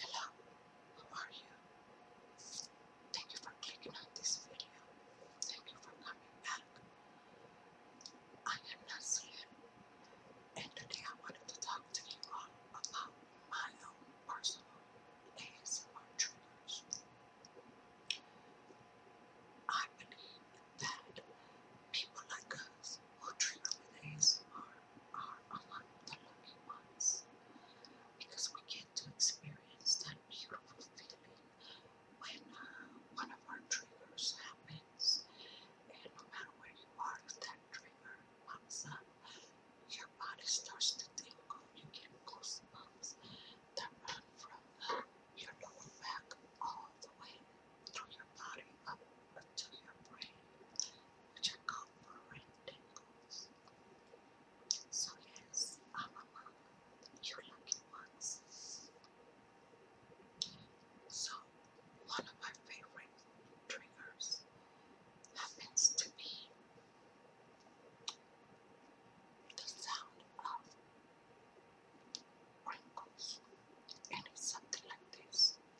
Hello, how are you? Thank you for clicking on this video. Thank you for coming back. I am Nazir, and today I wanted to talk to you all about my own personal ASMR triggers. I believe that people like us who trigger with ASMR are among the lucky ones because we get to experience that beautiful feeling when uh, one of our triggers happens. And no matter where you are, that trigger pops up, your body starts to tingle. You get goosebumps that run from your lower back all the way through your body up to your brain which are called for So yes, I'm among lucky ones. So one of my favorite triggers happens to be the sound of wrinkles, and it's something like this.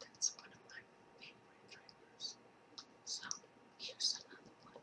That's one of my favorite flavors. So here's another one.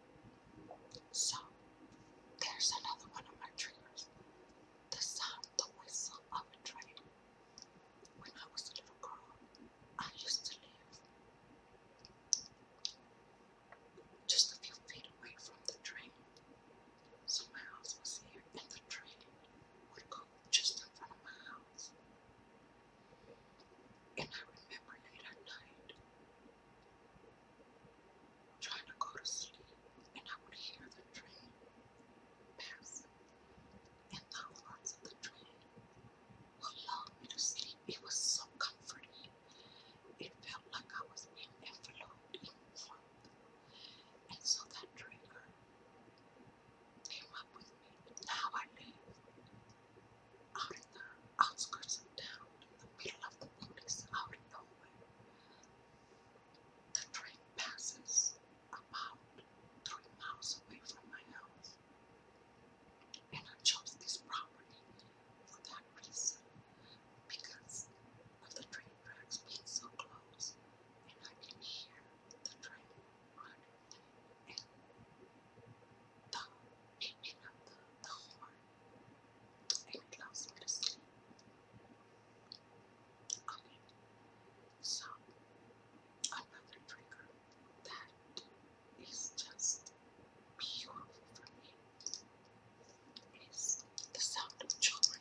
So, there's another one of my dreams The sound, the whistle of a train. When I was a little girl, I used to live just a few feet away from the train. So my house was here, and the train would just in front of my house. And I remember late at night, trying to go to sleep, and I would hear the train pass. And the horns of the train would lull me to sleep. It was so comforting. It felt like I was being enveloped in warmth. And so that trigger came up with me. Now I live out in the outskirts of town, in the middle of the wilderness, out in nowhere. The train passes about three miles away from my house. And I chose this property for that reason, because of the train tracks being so close, and I can hear the train running, it is picking the, horn it allows me to sleep. Okay, so another trigger that is just beautiful for me is the sound of children.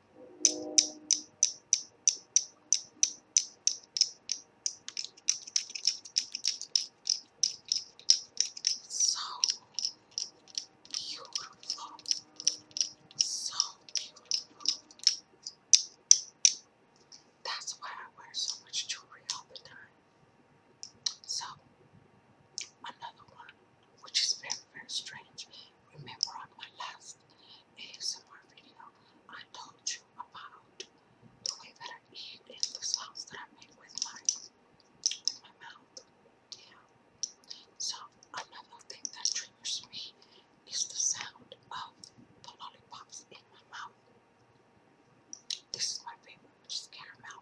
So beautiful. So beautiful. That's why I wear so much jewelry all the time. So, another one which is very, very strange. Remember on my last ASMR video, I told you about the way that I eat and the sounds that I make with my, with my mouth. Yeah. So another thing that triggers me is the sound of the lollipops in my mouth. This is my favorite, which is caramel.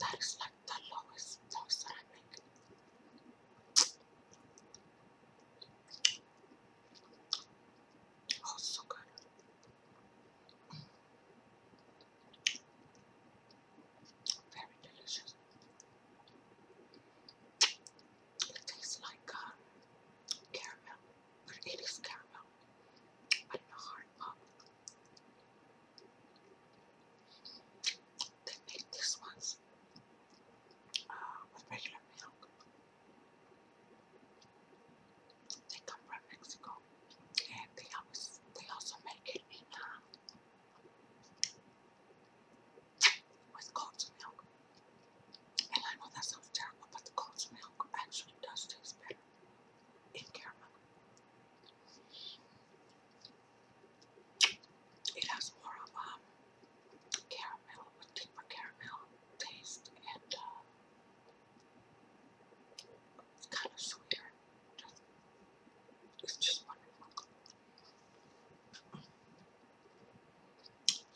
that is like the lowest toast that I make. Oh, so good. Very delicious. It tastes like uh, caramel, it is caramel, but not hard they make this one uh, with regular milk. They come from Mexico, and they always they also make it in uh, with goat's milk. And I know that sounds terrible, but the milk actually does taste better in caramel. It has more of um, caramel, a deeper caramel taste, and uh, it's kind of sweeter.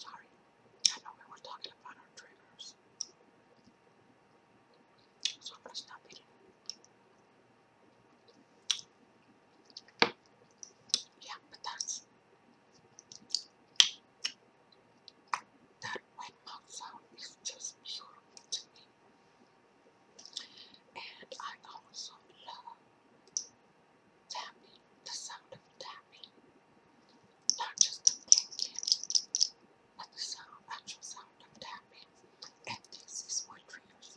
Sorry, I know we were talking about our triggers, so I'm gonna stop eating. Yeah, but that's that wet mouth sound is just beautiful to me. And I also love tapping, the sound of tapping. Not just the clicking, but the sound, actual sound of tapping. And this is what triggers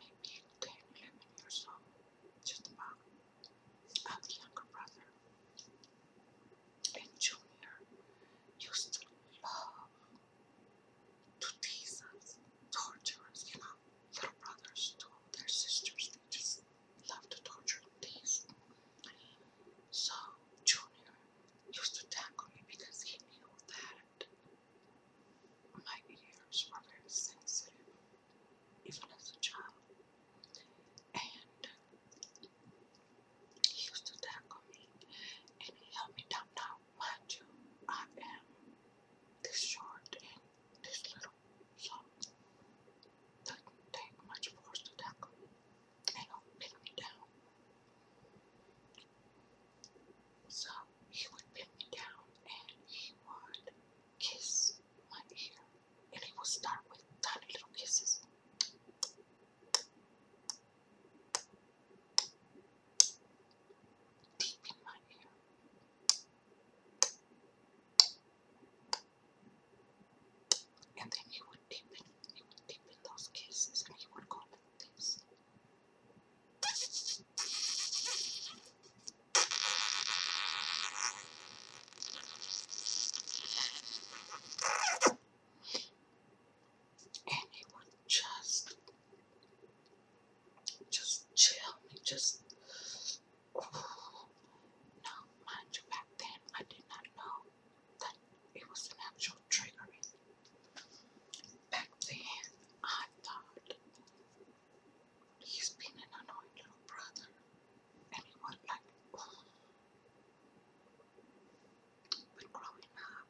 maybe 10, 11 years old, just about. I'm the younger brother. And Junior used to love to tease us, torture us, you know. Little brothers to their sisters, they just love to torture and So Junior used to tackle me because he knew that my ears were very sensitive even as a child. And he used to tackle me and he helped me down. Now, mind you, I am this short and this little, so doesn't take much force to tackle me. They don't me down. So he would pin me down and he would kiss my ear. And he would start with tiny little kisses. Deep in my ear. And then he would deepen, he would deepen those kisses and he would go like and just, just chill just. Oh, mind you, back then I did not know that it was an actual triggering. Back then, I thought he's been an annoying little brother. And like, oh. growing up,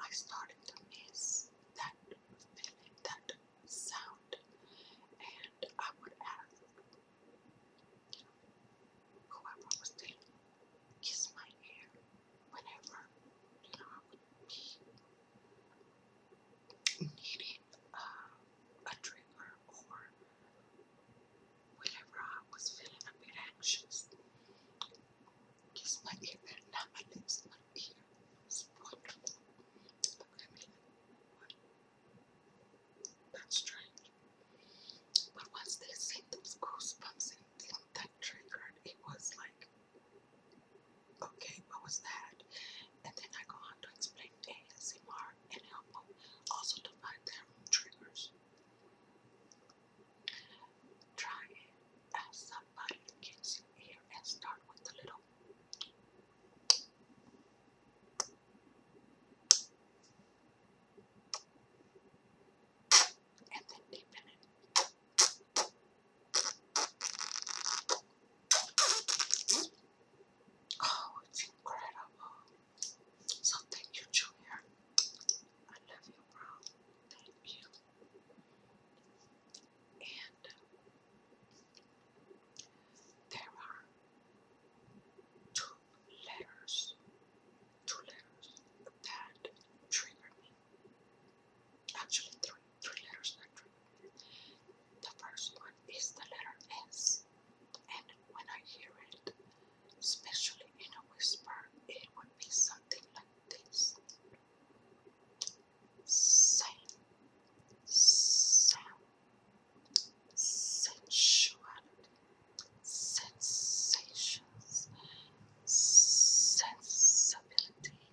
I started to miss that feeling, that sound. And I would ask, whoever was there, kiss my hair whenever, you know, I needing uh, a trigger or whenever I was feeling a bit anxious. Just my ear, not my lips, my ear. It's wonderful. I That's strange. But once they seen those goosebumps and that triggered, it was like okay, what was that? And then I go on to explain ASMR and help them also to their triggers. Try it. Have uh, somebody that gets you here and start with the little. And then deepen it. Oh, it's incredible. So thank you, Junior. I love you, bro. Thank you. And there are two letters, two letters that trigger me. Actually, three, three letters the first one is the letter S, and when I hear it, especially in a whisper, it would be something like this. Same, sound, sensuality, sensations, sensibility,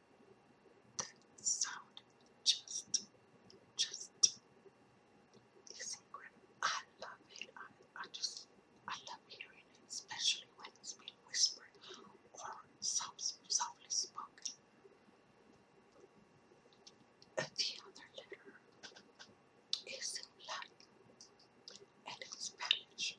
The sound just, just is incredible. I love it. I, I just, I love hearing it, especially when it's being whispered or soft, softly spoken. The other letter is in and in Spanish,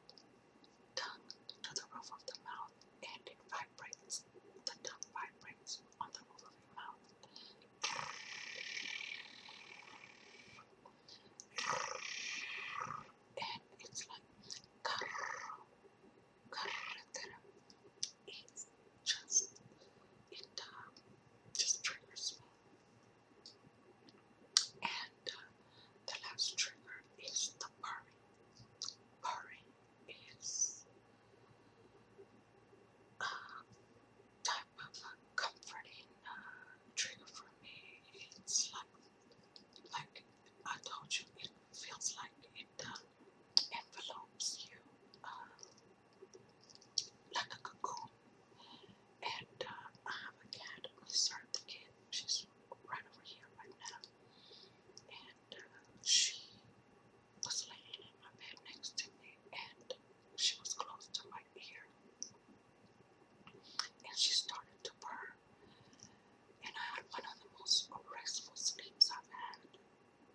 tongue to the roof of the mouth and it vibrates. The tongue vibrates on the roof of the mouth. And it's like carretera. It's just, it um, just triggers me. And uh, the last trigger is the purring. Purring is a uh, type of comforting uh, trigger for me. It's like, like I told you, it feels like it envelopes you like a cocoon. And I have a cat, we serve the kid, she's right over here right now. And uh, she was laying in my bed next to me, and she was close to my ear. And she started to purr. And I had one of the most restful sleeps I've had,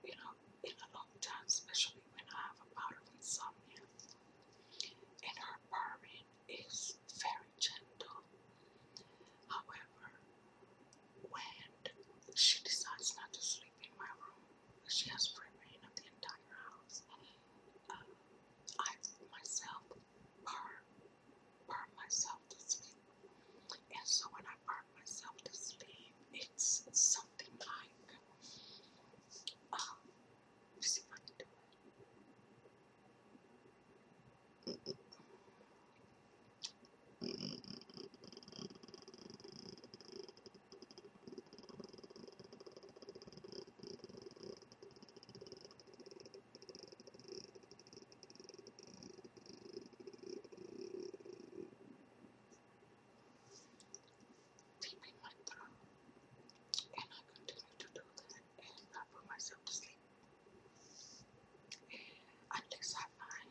you know, in a long time, especially when I have a bout of insomnia. And her purring is very gentle. However, when she decides not to sleep in my room, she has free reign of the entire house. Uh, I myself, burn, burn myself to sleep. And so when I burn myself to sleep, it's something like, um, Deeping my throat, and I continue to do that and not put myself to sleep. Unless I find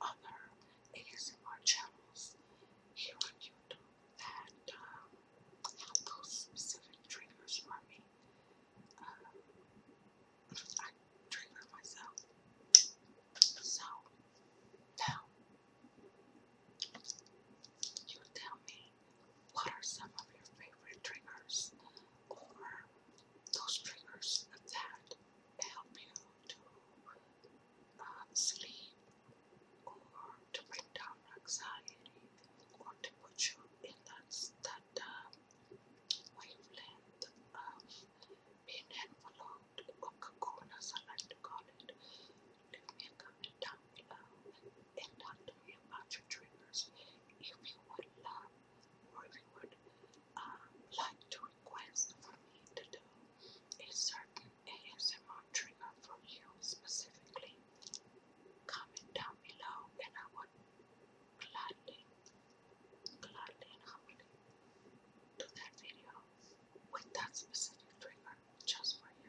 other ASMR channels here on YouTube that uh, those specific triggers for me. Uh, I trigger myself. So, now, you tell me what are some of your favorite triggers or those triggers that help you to uh, sleep or to bring down anxiety or to put you in that, that um, wavelength of being enveloped or cocoon as I like to down below and talk to me about your triggers if you would love or if you would like to request for me to do a certain ASMR trigger for you specifically, comment down below and I would gladly, gladly and humbly do that video with that specific trigger just for you.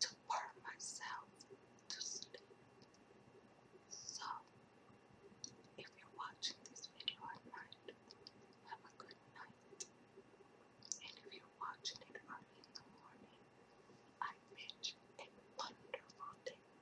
to purr myself to sleep. So, if you're watching this video at night, have a good night. And if you're watching it in the morning, I wish you a wonderful day.